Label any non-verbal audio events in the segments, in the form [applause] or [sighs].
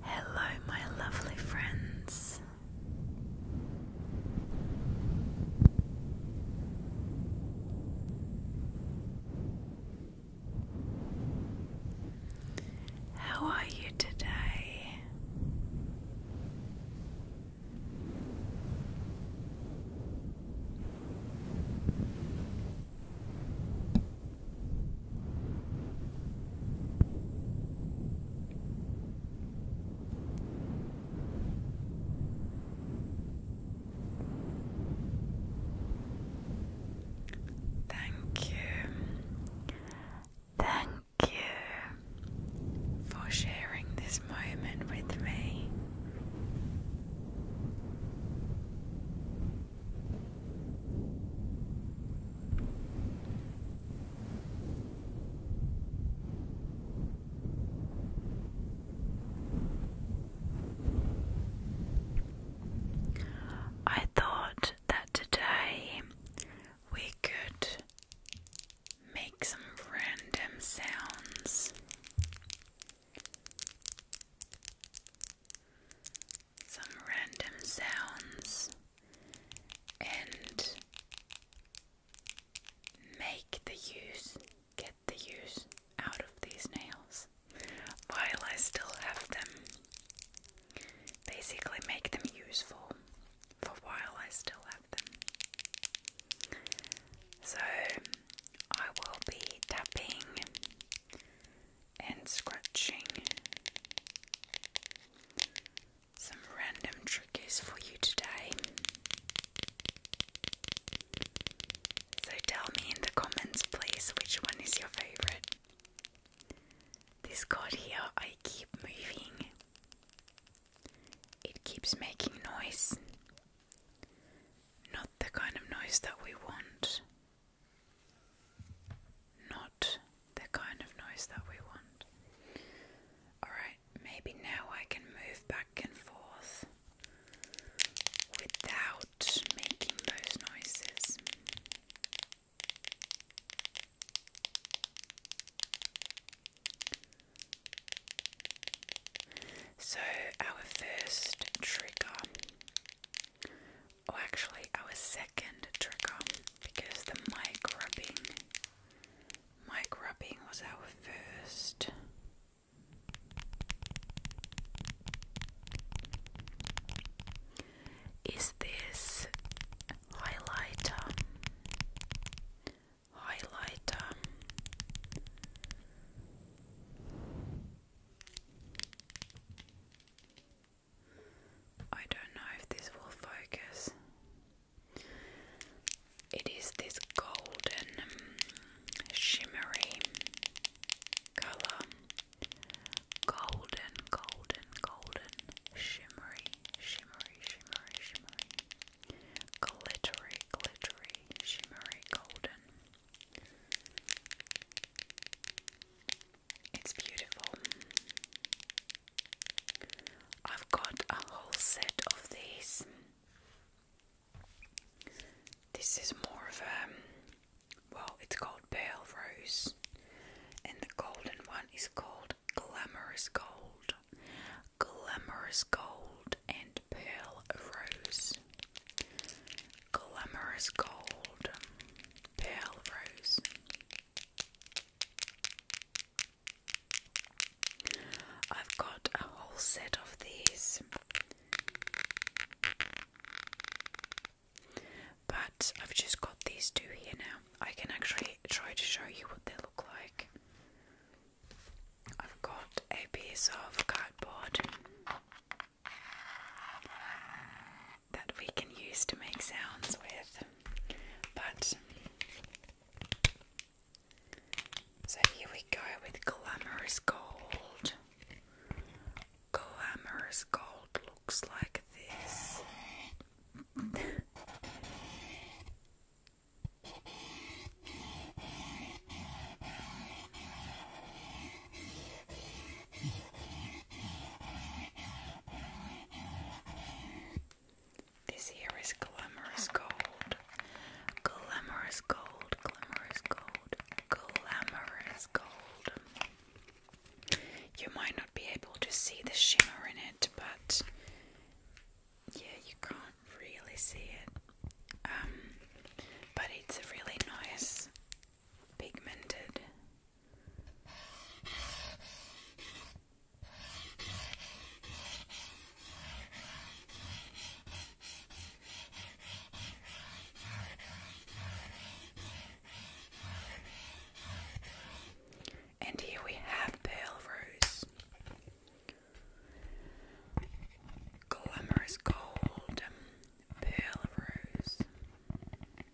Hello, my lovely friends. How are you today? Thank you. Thank you for sharing this moment with me. I thought that today we could make some random sounds some random sounds and make the use, get the use out of these nails while I still have them. Basically, make them useful for while I still have them. So, I will be tapping and scratching. Some random triggers for you today. So tell me in the comments, please, which one is your favorite. This card here, I keep moving, it keeps making noise. Not the kind of noise that we want, not the kind of noise that we want. Alright, maybe now I can move back and forth without making those noises. So, our first trigger Oh, actually, I was second trigger because the mic rubbing, mic rubbing was our first. Is this highlighter? Highlighter. I don't know if this will focus. It is this golden, um, shimmery color. Golden, golden, golden, shimmery, shimmery, shimmery, shimmery. Glittery, glittery, shimmery, golden. It's beautiful. I've got a whole set of these. This is more of a well, it's called Pearl Rose, and the golden one is called Glamorous Gold. Glamorous Gold and Pearl Rose. Glamorous Gold, pale Rose. I've got a whole set of these, but I've just got these two here now. I can actually try to show you what they look like. I've got a piece of cardboard that we can use to make sounds with. But so here we go with glamorous gold. Glamorous gold looks like this. This here is glamorous gold. Glamorous gold, glamorous gold, glamorous gold. You might not be able to see the shimmer in it, but yeah, you can't really see it. Um, but it's really nice pigmented. And here we have Pale Rose. Glamorous Gold, um, Pearl Rose.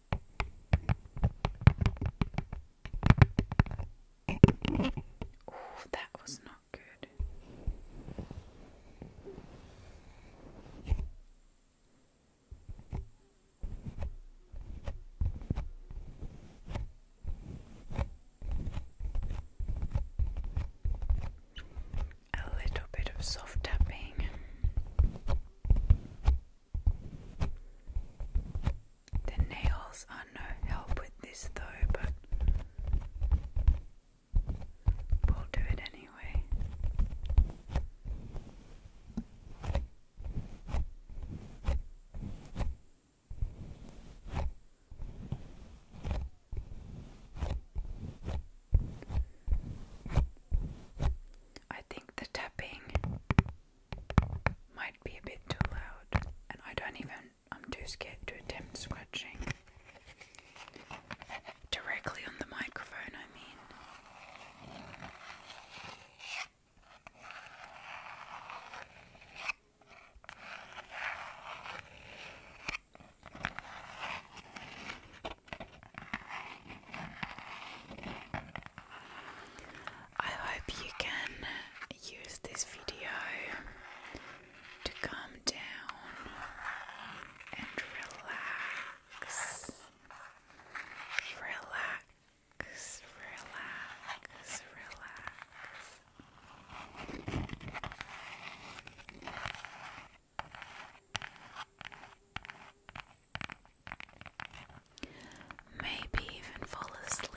Oh, that was not good. A little bit of soft tapping. The nails are no help with this though, but we'll do it anyway. I think the tapping might be a bit too loud, and I don't even, I'm too scared to attempt scratching directly on the microphone, I mean. I hope you can use this video to calm down and relax. Relax, relax, relax. Maybe even fall asleep.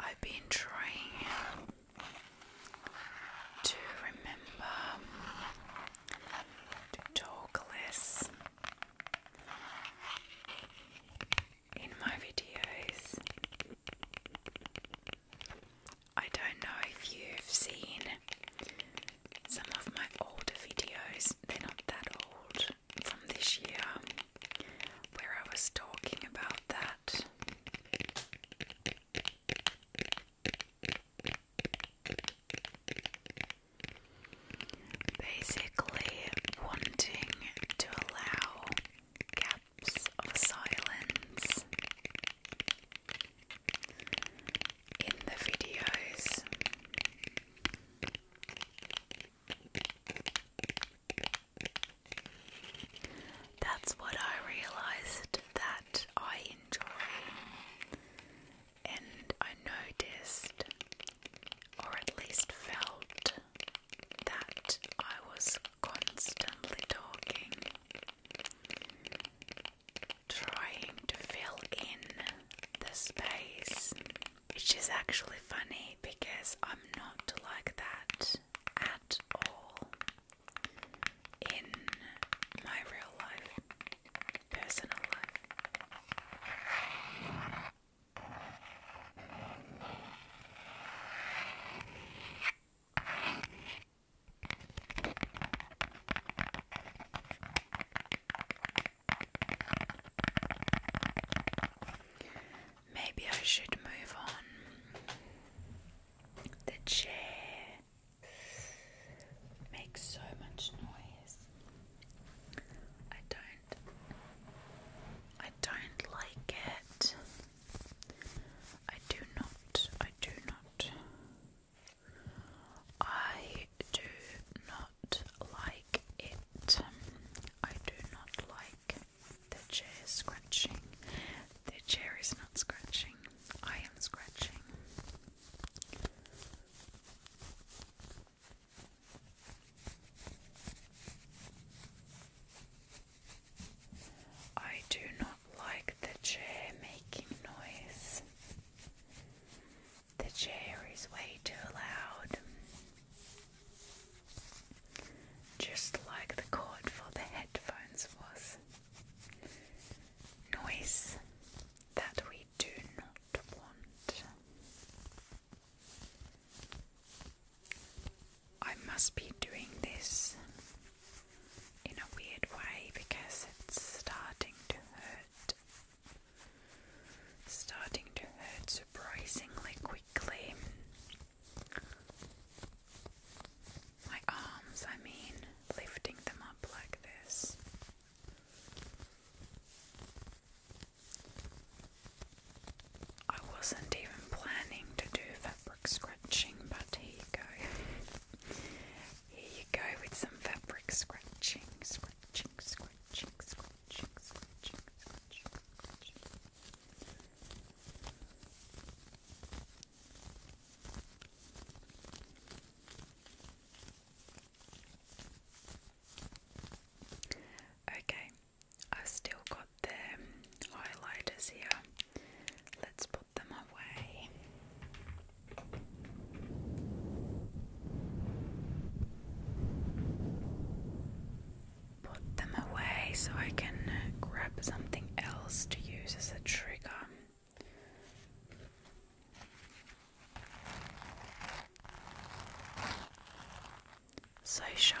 I've been trying to remember to talk less in my videos. I don't know if you've seen some of my older videos, they're not that old, from this year, where I was talking about that Basically, wanting to allow gaps of silence in the videos. That's what I realized that I enjoy, and I noticed, or at least felt, that I was constantly talking, trying to fill in the space, which is actually funny because I'm not like that at all in my real life, personal life. Maybe I should move on. The chair makes so much noise. I don't I don't like it. I do not. I do not. I do not like it. I do not like the chair is scratching. The chair is not scratching. I am scratching. I do not like the chair making noise. The chair is way too loud just like the cord for the headphones was. Noise that we do not want. I must be doing this in a weird way because it's starting to hurt. Starting to hurt surprisingly quickly. My arms, I mean, lifting them up like this. I wasn't even planning to do fabric scratching, but here you go. here you go with some fabric scratching, scratching, scratching, scratching, scratching, scratching, scratching. Okay, I've still got the highlighters here. Let's put them away put them away so I can grab something else to use as a trigger. So shiny.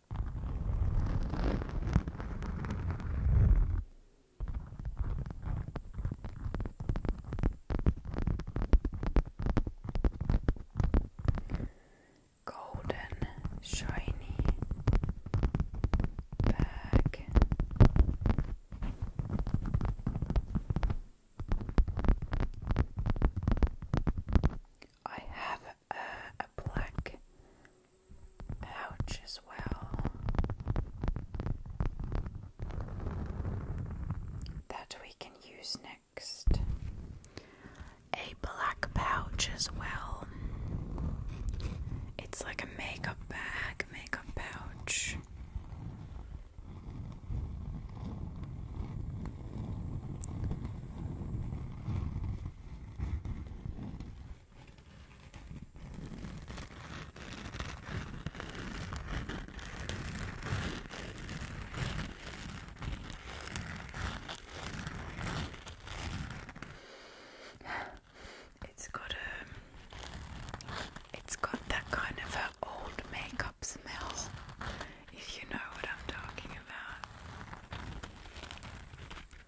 Golden shiny bag. I have a, black pouch as well that we can use next. A black pouch as well. It's like a makeup bag, makeup pouch. [sighs] It's got a, um, it's got that kind of an old makeup smell, if you know what I'm talking about.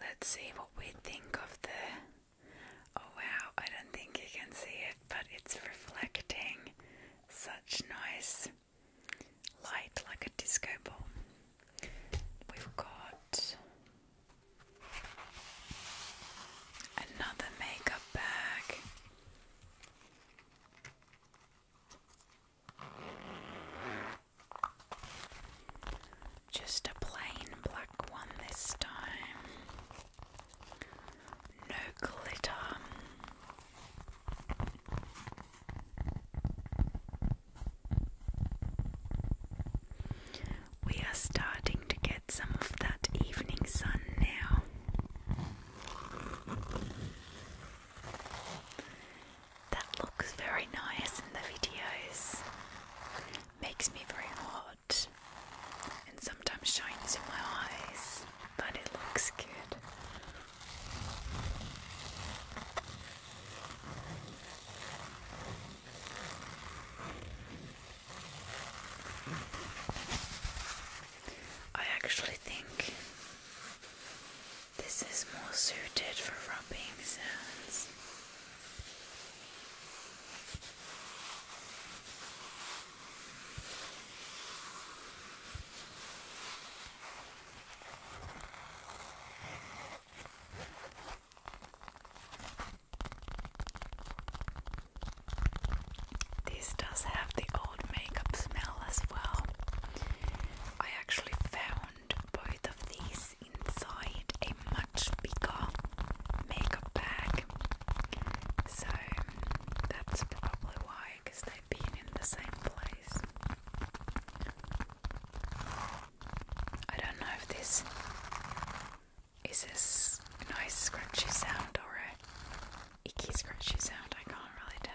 Let's see what we think of the. Oh wow, I don't think you can see it, but it's reflecting such nice light like a disco ball. We've got Another makeup bag. Just a plain black one this time. No glitter. We are starting to get some of that evening sun now. That looks very nice in the videos. Makes me very hot and sometimes shines in my eyes, but it looks good. I actually think this is more suited for rubbing sounds. This does have the old makeup smell as well. I actually found both of these inside a much bigger makeup bag, so that's probably why, because they've been in the same place. I don't know if this is this nice scrunchy sound or a icky scrunchy sound, I can't really tell.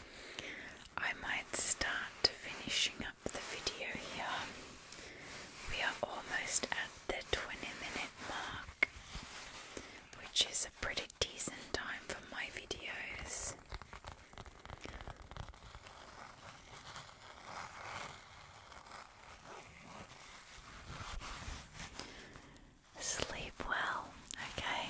I might start finishing up the video here. We are almost at the 20 minute mark, which is a pretty decent time for my videos. Sleep well, okay?